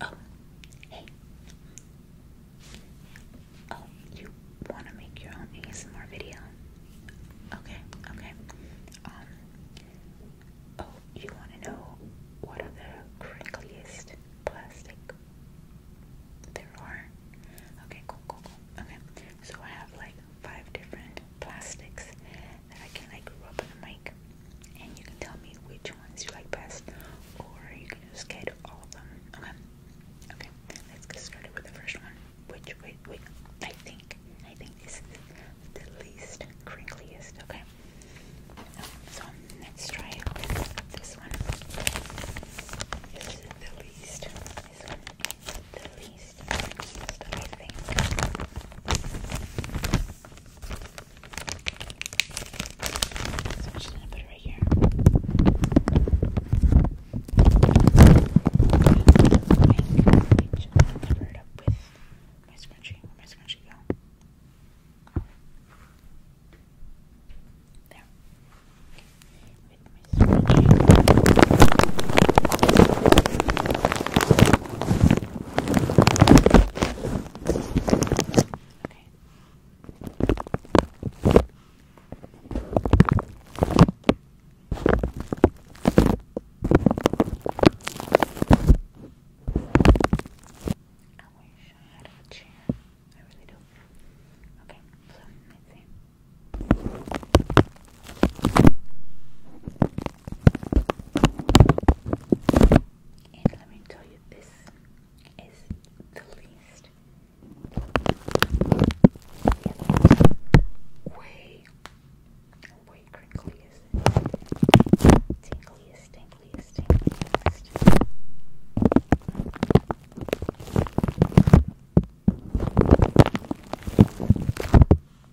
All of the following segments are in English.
Oh, hey. Oh, you want to make your own ASMR video? Okay, okay. Um, oh, you want to know what are the crinkliest plastic there are? Okay, cool, cool, cool. Okay, so I have like five different plastics that I can like rub the mic and you can tell me which ones you like best or you can just get all of them. Okay. Okay, let's get started with the first one. Which wait wait I think I think this is the least crinkliest, okay? So let's try this one. This is the least. This one the least. I think. So I'm just gonna put it right here. cover it up with my scrunchie. Where my scrunchie go? There. With my scrunchie. Okay. I wish I had a chair. I really do. Okay, so let's see. And let me tell you, this is the least. way, way crinkliest, tingliest, tingliest, tingliest.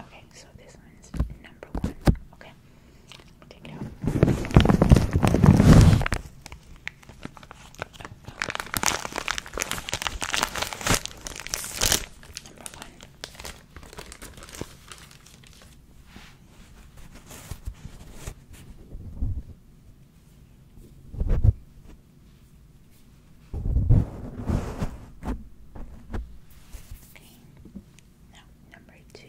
Okay, so this one's number one. Okay, take out. Number one. Okay, now number two.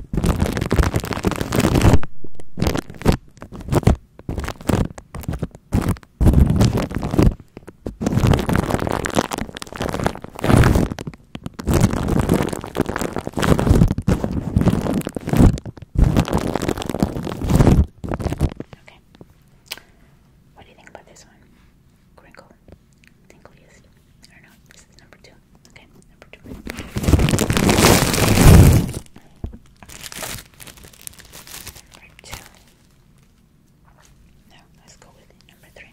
Okay. What do you think about this one? Crinkle. Tingliest. I don't know. This is number two. Okay, number two. No, let's go with number three.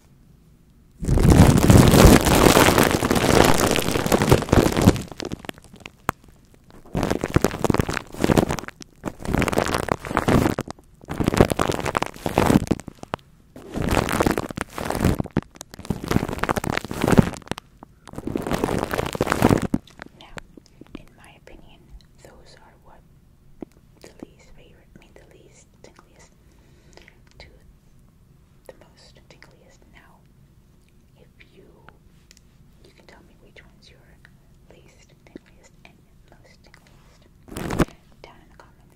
Now, in my opinion, those are what the least favorite, I mean the least tingliest to the most tingliest. Now, if you you can tell me which one's your least tingliest and most tingliest down in the comments.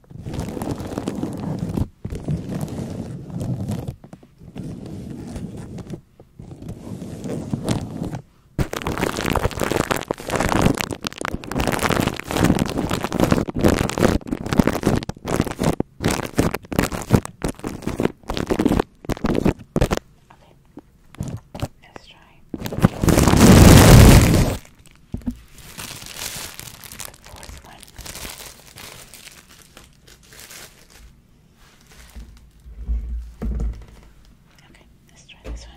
Okay. Let's try. The fourth one. Okay, let's try this one.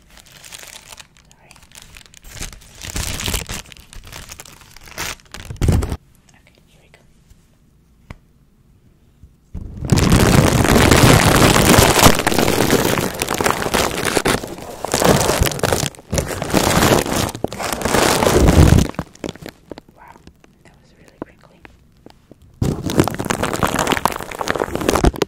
Sorry. Okay, here we go. Wow, that was really crinkly.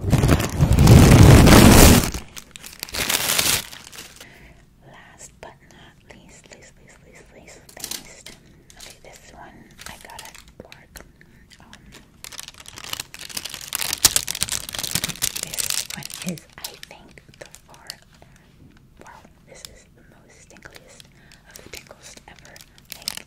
Last but not least, least, least, least, least, least. Okay, this one I got at work. Um, this one is, I think, the far. Wow, this is the most tinkliest of the tinkles ever. Like,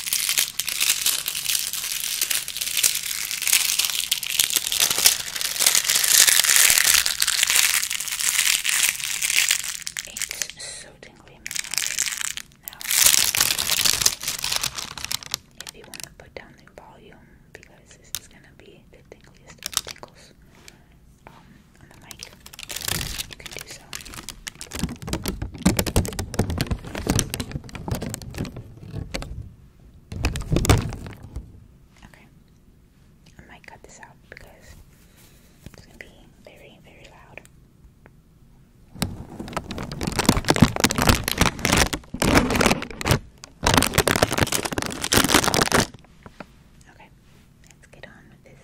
It's so tingly Now, if you want to put down the volume, because this going to be the tingliest of um, on the mic, you can do so. Nice. Okay. I might cut this out because it's going to be very, very loud. Okay, let's get on with this.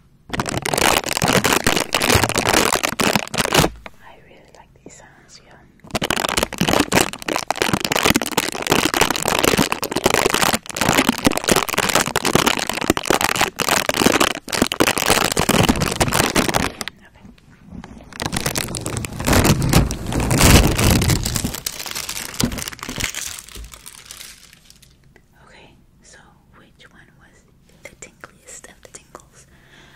I really like these sounds, yeah. Okay. Okay, so which one was the tingliest of the tingles?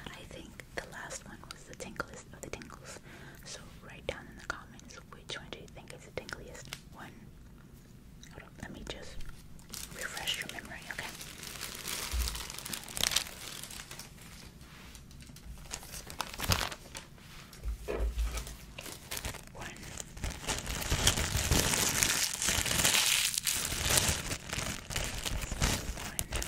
I think the last one was the tingliest of the tingles. So write down in the comments which one do you think is the tingliest one? Hold on, let me just refresh your memory, okay? One. One. Two. Right, two.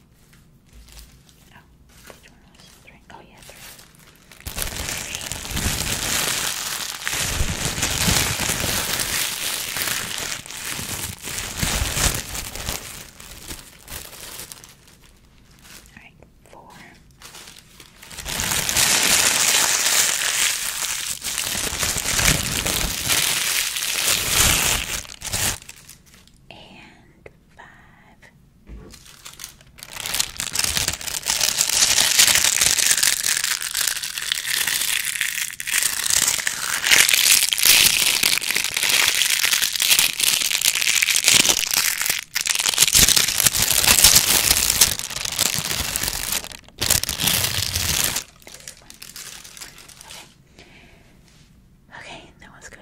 Oh, which one was three? Oh, yeah, three. Alright, four. And Five. This Okay. Okay, that was good.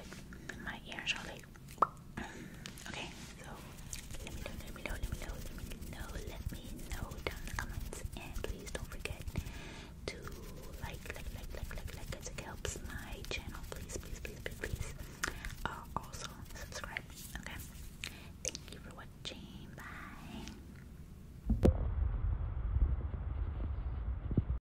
My ears are Okay, so let me know, let me know, let me know, let me know, let me know down the comments, and please don't forget to like, like, like, like, like, like, it helps my channel. Please, please, please, please, please. Uh, also subscribe. Okay, thank you for watching. Bye.